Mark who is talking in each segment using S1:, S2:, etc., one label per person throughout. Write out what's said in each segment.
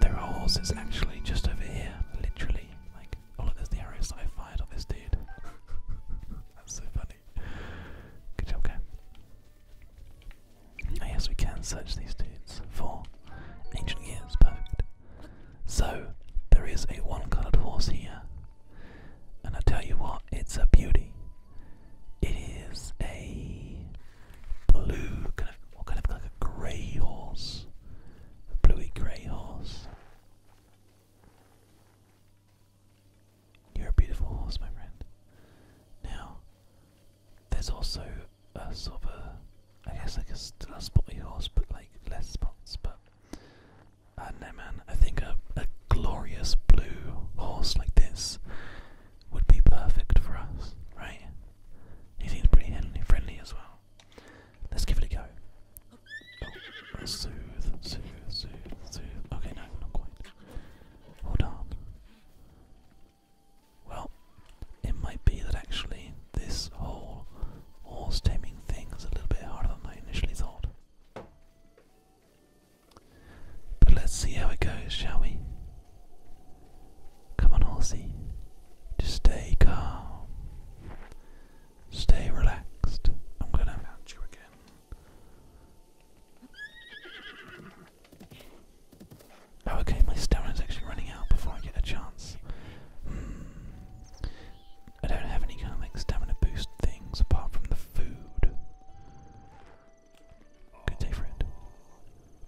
S1: There are horses actually just over here, literally. Like, oh look, there's arrows that I fired on this dude. That's so funny. Good job, guy. I guess we can search these dudes for ancient gears, perfect. So, there is a one coloured horse here, and I tell you what, it's a beauty. It is a blue, kind of, or kind of like a grey horse, a bluey grey horse. You're a beautiful horse, my friend. Now, there's also a sort of a, I guess like a spotty horse, but like less spots. But I uh, do man. I think a glorious blue horse like this would be perfect for us, right? He seems pretty friendly as well. Let's give it a go. Oh, soothe, soothe, soothe, soothe. Okay, no, not quite. Hold on. Well, it might be that actually this whole horse taming thing is a little bit harder than I initially thought. But let's see how it goes, shall we? Come on, horsey. Just stay calm. Stay relaxed. I'm gonna mount you again. Oh, okay, my stamina's actually running out before I get a chance. Hmm. I don't have any kind of stamina boost things apart from the food. Good day, friend.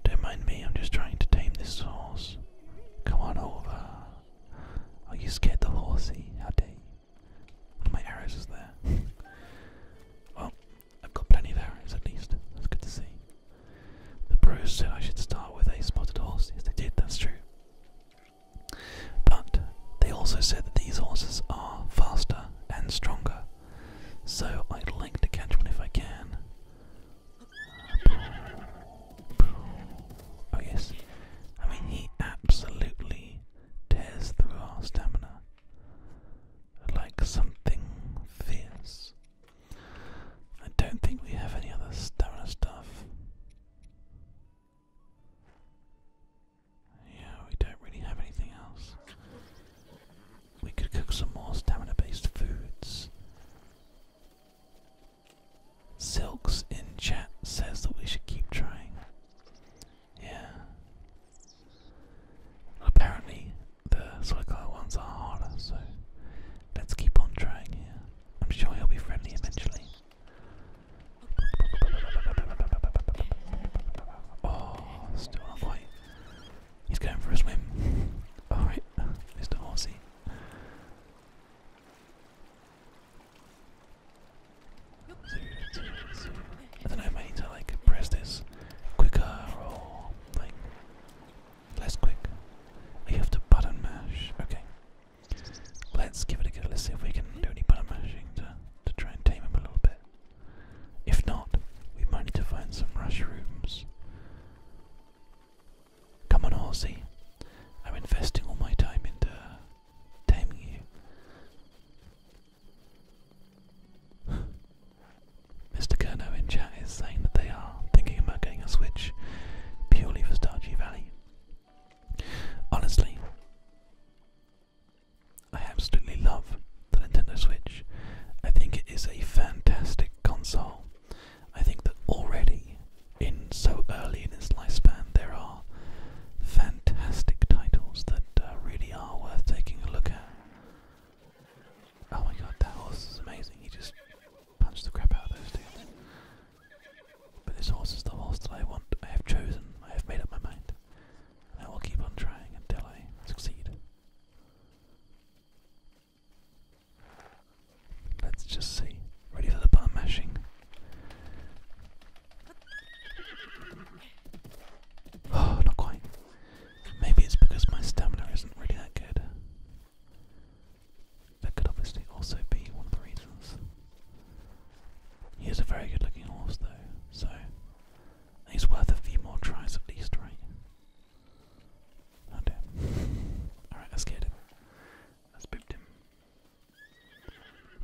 S1: Don't mind me, I'm just trying to tame this horse. Come on over. Are you scared the horsey? How dare you? of my arrows is there. well, I've got plenty of arrows at least. That's good to see. The bros said I should start with a spotted horse. Yes, they did, that's true. But they also said that these horses are faster and stronger. So I'd like to catch one if I can. Oh, yes. I mean, he absolutely tears through our stamina like something fierce. I don't think we have any other stamina stuff. Yeah, we don't really have anything else. We could cook some more stamina based foods. Silks in chat says that we should keep trying. Yeah. Apparently, the Suicide ones are harder, so let's keep on trying here. I'm sure he'll be friendly eventually. Oh, still not quite. He's going for a swim. Alright, Mr. Horsey. I don't know if I need press this quicker or Less quick. I have to button mash. Okay. Let's give it a go. Let's see if we can do any button mashing to, to try and tame him a little bit. If not, we might need to find some rush rooms. Come on, Aussie. I'm investing all my time into taming you. Mr. Kerno in chat is saying that they are thinking about getting a Switch purely for Stardew Valley. Honestly, I absolutely love the Nintendo Switch. I think it is a fantastic console. I think that already, in so early in its lifespan, there are fantastic titles that uh, really are worth taking a look at. Oh my god, that horse is amazing. He just punched the crap out of those dudes. But this horse is the horse that I want. I have chosen. I have made up my mind. And I will keep on trying until I succeed. Let's just see. Ready for the button mashing? Oh, not quite. Maybe it's because my stamina isn't really that good. That could obviously also be one of the reasons. He is a very good looking horse though, so he's worth a few more tries at least, right? Oh Alright, I scared him. I spooked him.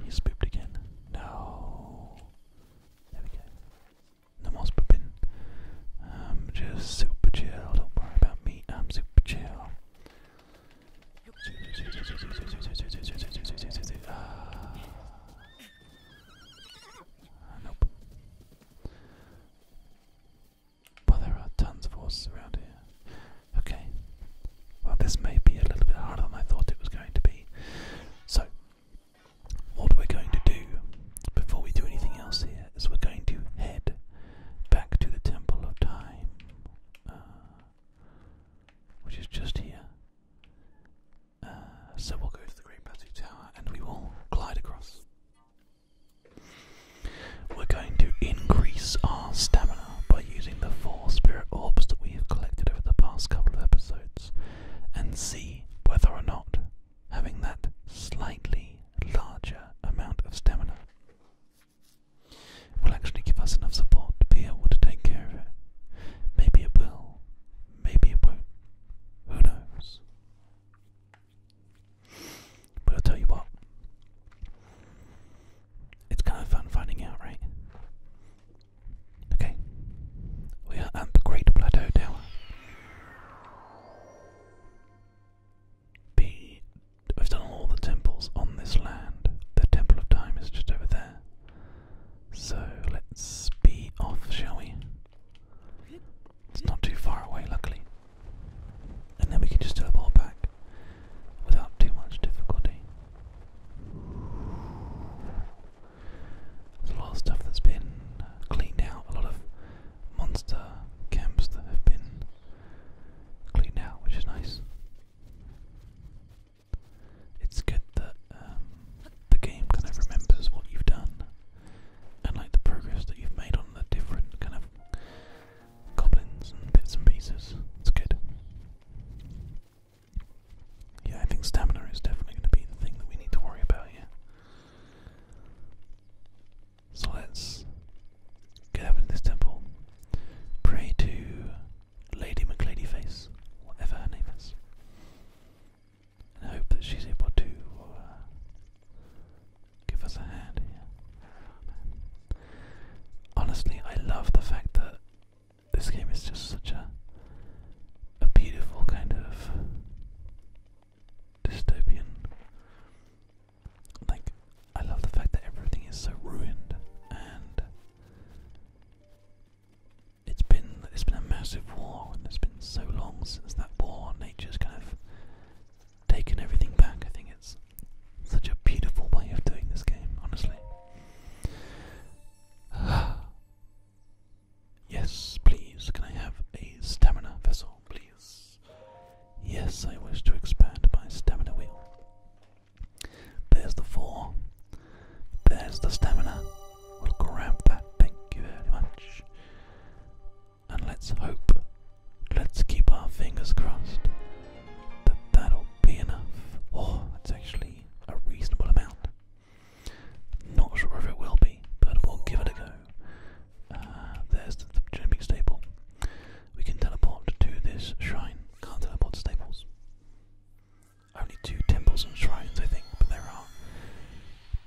S1: He spooked again. No. There we go no more popping. I'm um, just super chill. Don't worry about me. I'm super chill. Ah, nope. Well, there are tons of horses around here. Okay. Well, this may be a little bit harder than I thought it was going to be. So, what we're going to do before we do anything else here is we're going to head back to the Temple of Time, uh, which is just here. Uh, so we'll go to the Great Plateau Tower and we will glide across. We're going to increase our stamina by using the four spirit orbs that we have collected over the past couple of episodes and see whether or not having that slightly larger amount of stamina will actually give us enough support to be able to take care of it. Maybe it will, maybe it won't. Who knows? But I'll tell you what, it's kind of fun finding out, right? Okay, we are at the Great Plateau Tower. We've done all the temples on this land. The Temple of Time is just over there. So let's be off, shall we? It's not too far away, luckily. And then we can just teleport back without too much difficulty. There's a lot of stuff that's been cleaned out, a lot of monster camps that have been cleaned out, which is nice. It's good that um, the game kind of remembers what you've done and like the progress that you've made on the different kind of goblins and bits and pieces. It's good. Yeah, I think stamina is definitely going to be the thing that we need to worry about Yeah? So let's get up into this temple, pray to Lady McLadyface, whatever her name is, and hope that she's able to uh, give us a hand Honestly, I love the fact that this game is just such a beautiful kind of dystopian. Like, I love the fact that everything is so ruined, and it's been it's been a massive war, and it's been so long since that war. Nature's kind of taken everything back. I think it's such a beautiful way of doing this game, honestly. Yes, please. Can I have a stamina vessel, please? Yes, I wish to expand my stamina wheel. There's the four. There's the stamina. We'll grab thank you very much. And let's hope, let's keep our fingers crossed that that'll be enough. Oh, that's actually a reasonable amount. Not sure if it will be, but we'll give it a go. Uh, there's the, the jumping We can teleport to this shrine. Can't teleport to staples. Only two temples and shrines, I think, but there are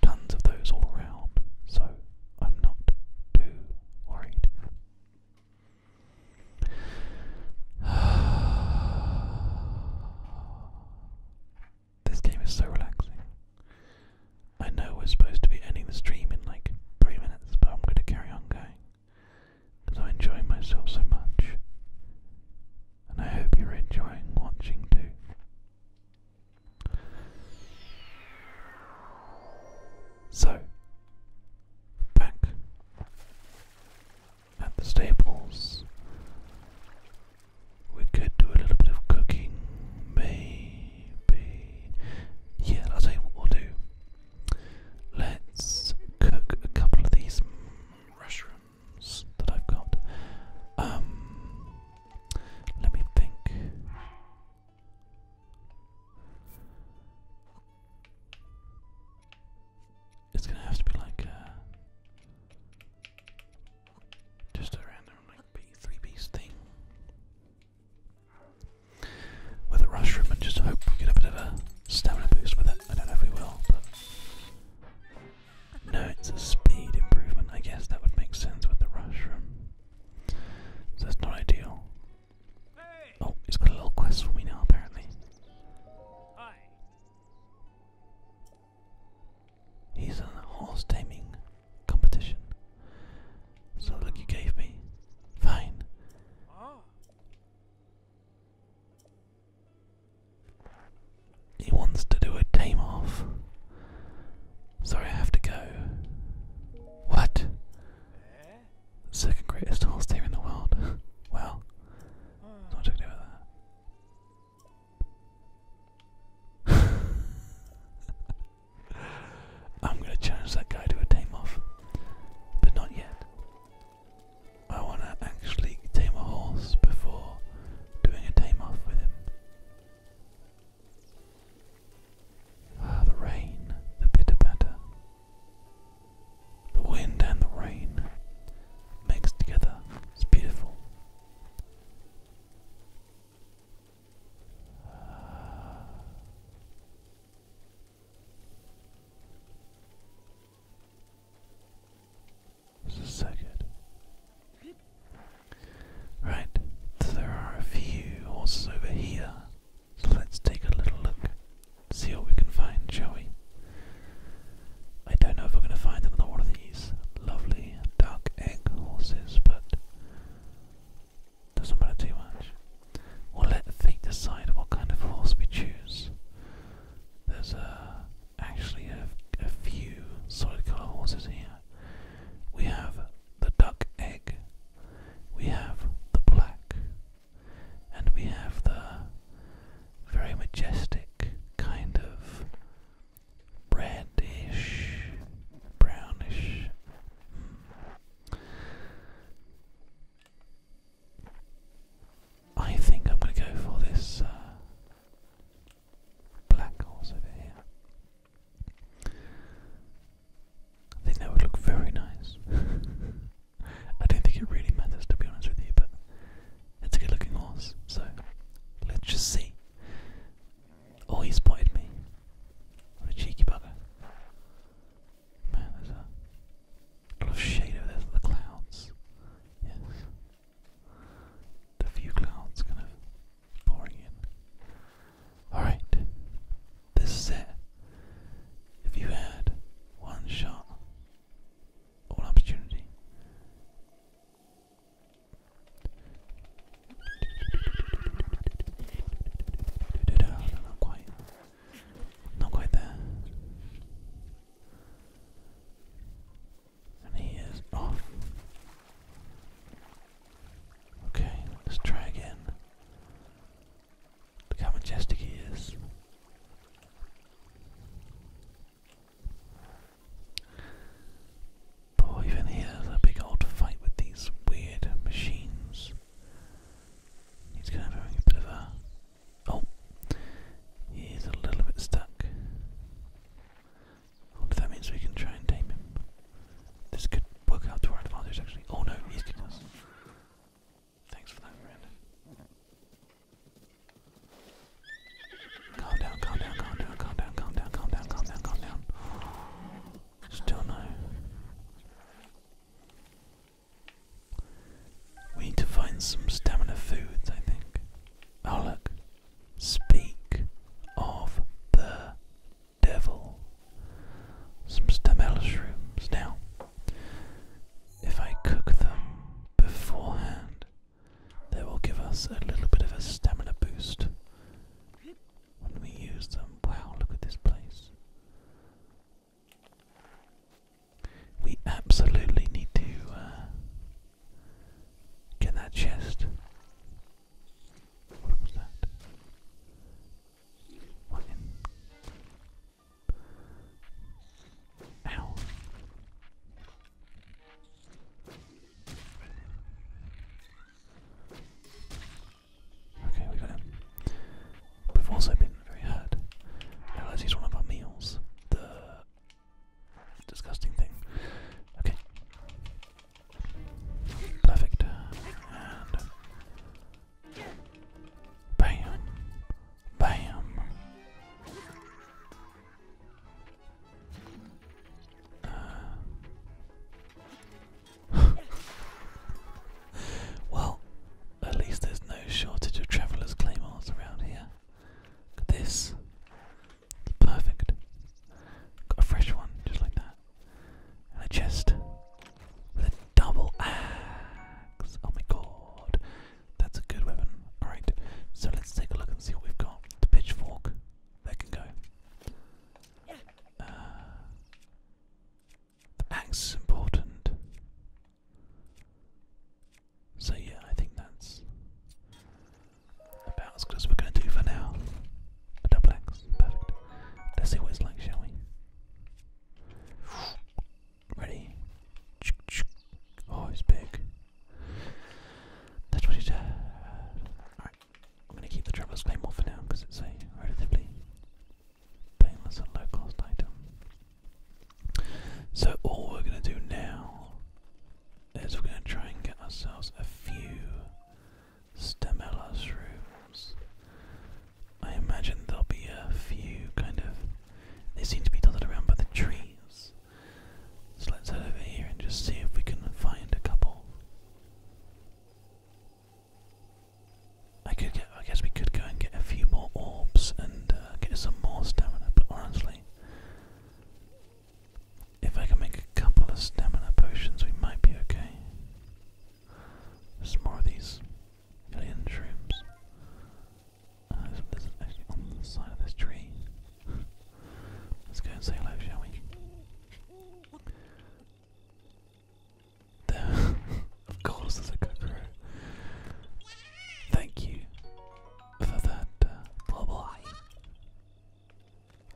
S1: tons of those all around, so I'm not too worried. This game is so relaxing. I know we're supposed to be ending the stream in like three minutes, but I'm going to carry on going because I enjoy myself so much. And I hope you're enjoying watching too. So, back at the stables, we could do a little bit of cooking, maybe. Yeah, I'll tell you what we'll do. Let's cook a couple of these mushrooms that I've got. Um, let me think. It's gonna have to be like just a random like three piece thing with a rush room and just hope we get a bit of a stamina boost with it. I don't know if we will, no, it's a speed improvement. I guess that would make sense with the rush room. So that's not ideal. Oh, he's got a little quest for me now, apparently. He's in a horse taming competition. So look, you gave me. Fine. He wants to do a tame off. Sorry, I have to go. What? Second greatest horse team in the world. well, uh. not talking about that. I'm going to challenge that guy to a tame off, but not yet. I want to actually tame a horse before doing a tame off with him. Ah, the rain, the pitter patter. The wind and the rain mixed together. It's beautiful. This is so good. Right, there are a few horses over here, so let's take a little look, see what we can find, shall we? I don't know if we're going to find another one of these lovely duck egg horses, but doesn't matter too much. We'll let the feet decide what kind of horse we choose. There's uh, actually a, a few solid colour horses here. We have the duck egg, we have the black, and we have the very majestic kind of reddish, brownish. Hmm. I think I'm going to go for this uh, black horse over here. I think that would look very nice. I don't think it really matters to be honest with you, but it's a good looking horse, so let's just see. Oh, he spotted me. What a cheeky bugger. Man, there's a lot of shade over there, the clouds. Yes. The few clouds kind of pouring in. Alright, this is it. If you had one shot or opportunity not quite. Not quite there. And he is off. Okay, let's try again. Look how majestic he is. Boy, even here's a big old fight with these weird machines. He's kind of having a bit of a. Oh! He's a little bit stuck. I that means we can try and tame him. This could work out to our advantage, actually. Oh no, he's getting us. Thanks for that, Miranda. Calm down, calm down, calm down, calm down, calm down, calm down, calm down, calm down. Still no. We need to find some stamina foods, I think. Oh, Speak of the devil. Some stamina shrooms. Now, if I cook them beforehand, they will give us a little bit of a stamina boost when we use them. Wow, look at this place. We absolutely need to uh, get that chest. What was that? What in? Ow. Okay, we got him. We've also been very hurt. I realize he's one of our meals. The disgusting thing. Okay. Perfect. Um, bam. Bam. Uh, well, at least there's no shortage of travelers' claymores around here. this. It's perfect. Got a fresh one, just like that. And a chest with a double axe. Oh my god. That's a good weapon. Alright, so let's take a look and see what we've got the pitchfork. That can go. the axe is important. So yeah, I think that's about as good we're going to do for now. A double axe, perfect. Let's see what it's like, shall we? Ready? Oh, it's big. That's what he does. I'm going to keep the Traveler's Claymore for now because it's a relatively painless and low cost item. So, all we're going to do now is we're going to try and get ourselves a few Stamella shrooms. I imagine there'll be a few kind of. They seem to be dotted around by the trees, so let's head over here and just see if we can find a couple. I could get, I guess we could go and get a few more orbs and uh, get some more stamina, but honestly, if I can make a couple of stamina potions, we might be okay. There's more of these alien shrooms. Uh, there's on the side of this tree. Let's go and say hello, shall we? There. of course, there's a cockroach. Thank you for that uh, blah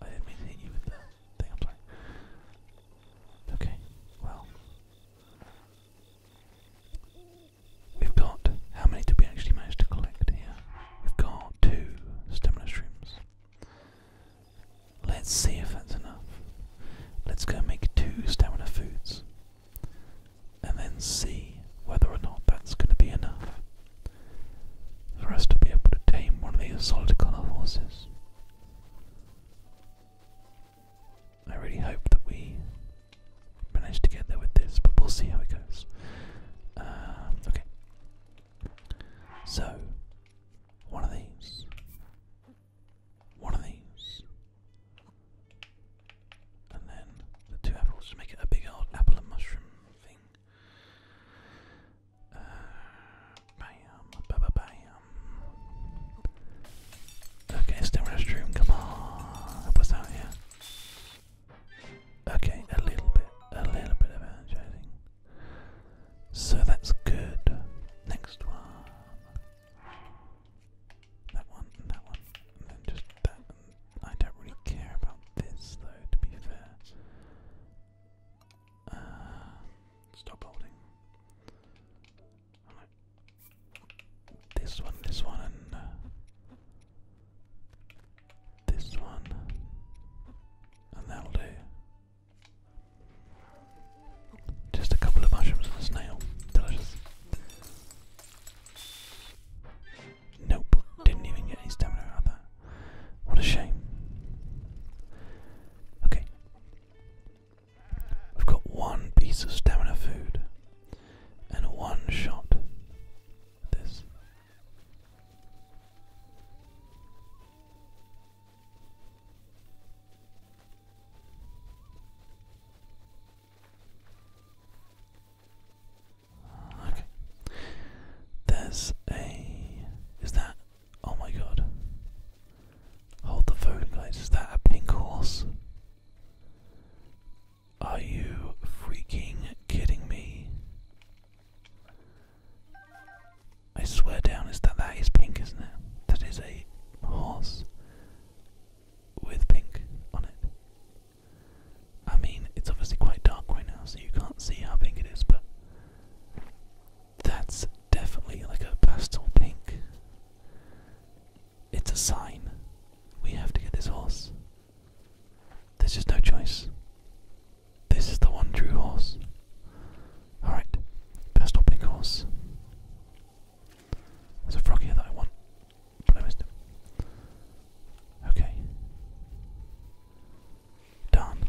S1: I didn't mean to hit you with that I'm sorry. Okay, well. We've got, how many did we actually manage to collect here? We've got two stamina shrooms. Let's see if that's enough. Let's go make two stamina foods and then see whether or not that's going to be enough for us to be able to tame one of these solid color horses. I really hope that we manage to get there with this, but we'll see how it goes. Um, okay. So, one of these. One of these. And then the two apples make it a big old apple and mushroom thing. Uh, bam, bam. Okay, still restroom, come on. Help us out Okay, a little bit, a little bit of energizing. So that's good. Next one. That one, that one, and then just that. I don't really care about this though, to be fair. Uh, stop holding. This one, this one, and uh, this one, and that'll do. Just a couple of mushrooms and a snail. Delicious. Nope, didn't even get any stamina out of that. What a shame. Okay. I've got one piece of stamina food and one shot this. Okay. There's a. Is that. Oh my god. Hold the phone, guys. Is that a pink horse? Are you freaking kidding me? I swear down is that that is pink, isn't it? That is a horse with pink on it. I mean, it's obviously quite dark right now, so you can't see how pink it is, but that's definitely like a pastel pink. It's a sign. We have to get this horse. There's just no choice. This is the one Drew horse. Alright, best opening horse. There's a frog that I want, but I missed him. Okay. Darn.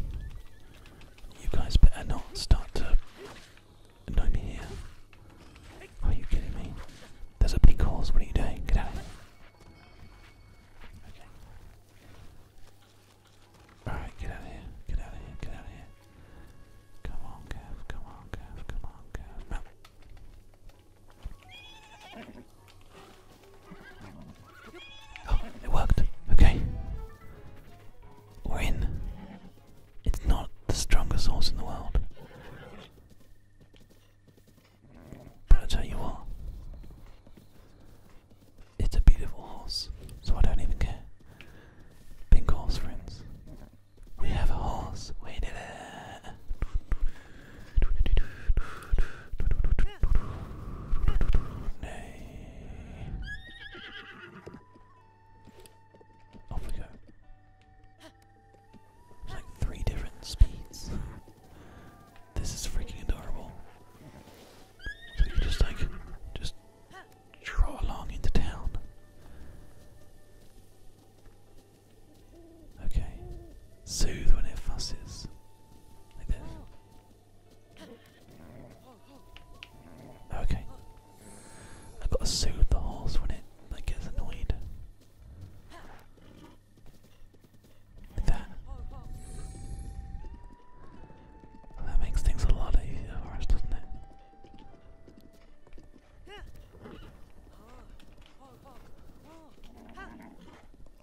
S1: You guys better not start to annoy me here. Are you kidding me? There's a big horse, what are you doing? Get out of here. Alright, get out of here. Get out of here. Get out of here. Come on, Gav. Come on, Gav. Come on, Gav. Oh, it worked. Okay. We're in. It's not the strongest horse in the world. I'll tell you what. It's a beautiful horse, so I don't even care. Pink horse, friends. We have a horse. We did it. Nay. Off we go like three different speeds. This is freaking adorable. So you just like just trot along into town. Okay. Soothe when it fusses. Like this. Okay. I've got to soothe the horse when it like gets annoyed that. That makes things a lot easier for us, doesn't it?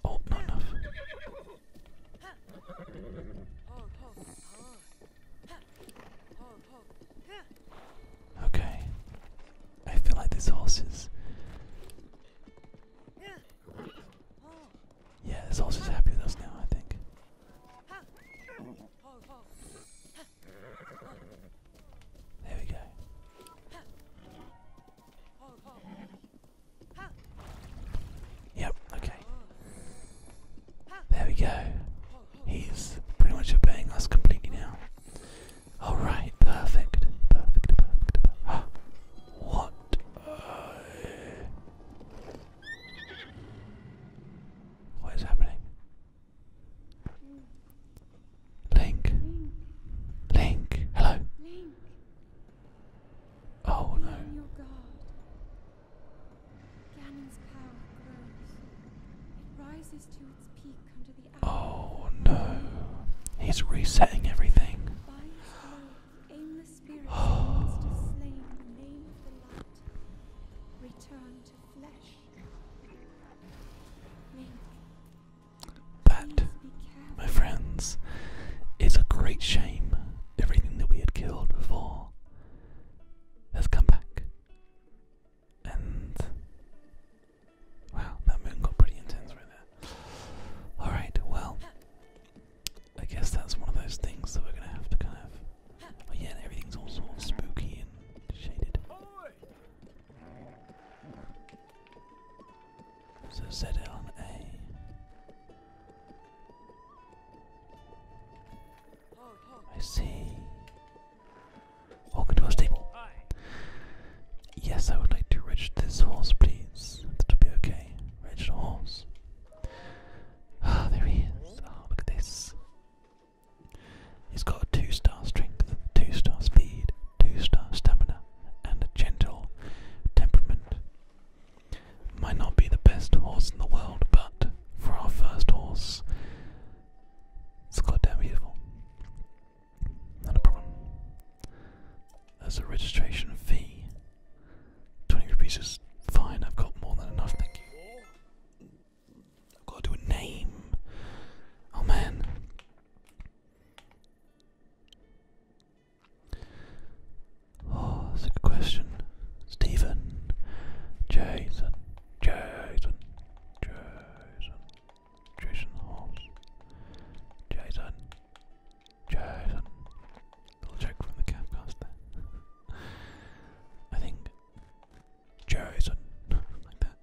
S1: Oh, not Okay. I feel like this horse yeah, this horse is happy with us now, I think. There we go. Yep, okay. There we go. He's pretty much obeying us completely now. All right, perfect, perfect, perfect. perfect. what? Uh, what is happening? Link. Link. Link. Hello. Link. Oh Be no. Your Ganon's power grows. It rises to its peak under Oh no. He's resetting everything. That, my friends, is a great shame. Everything that we had killed before has come back. And Wow, that moon got pretty intense right there. Alright, well, I guess that's one of those things that we're gonna have to kind of. Oh, yeah, everything's all sort of spooky and shaded. So see. Welcome to our stable. Yes, I would like to register this horse, please. That'll be okay. the horse. Ah, there he is. Oh, look at this. He's got a two star strength, two star speed, two star stamina, and a gentle temperament. Might not be the best horse in the world, but for our first horse, it's goddamn beautiful. Not problem. There's a registration fee. 20 rupees is fine, I've got more than enough, thank you. I've got to do a name. Oh man. Oh, that's a good question. Stephen, Jason, Jason, Jason, Jason Jason. Little joke from the Capcaster. I think Jason. like that.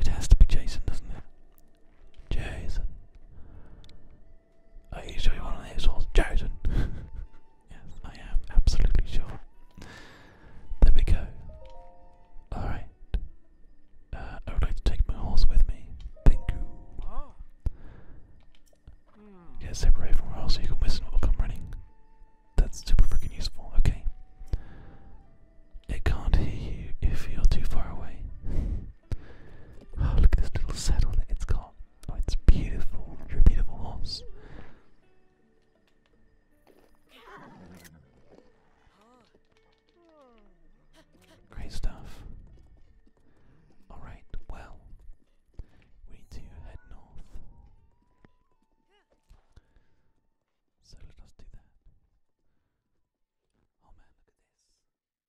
S1: it has to be Jason, doesn't it? Jason. Are you sure you want to horse? Jason. yes, I am absolutely sure. There we go. Alright. Uh, I would like to take my horse with me. Thank you. Oh. Mm. Yeah, separate horse you can listen what will come running. That's super freaking useful. Okay. It can't hear you if you're too far away. Oh, look at this little saddle that it's got. Oh, it's beautiful. you a beautiful horse. Great stuff. Alright, well, we need to head north. So let us do that. Oh man, look at this.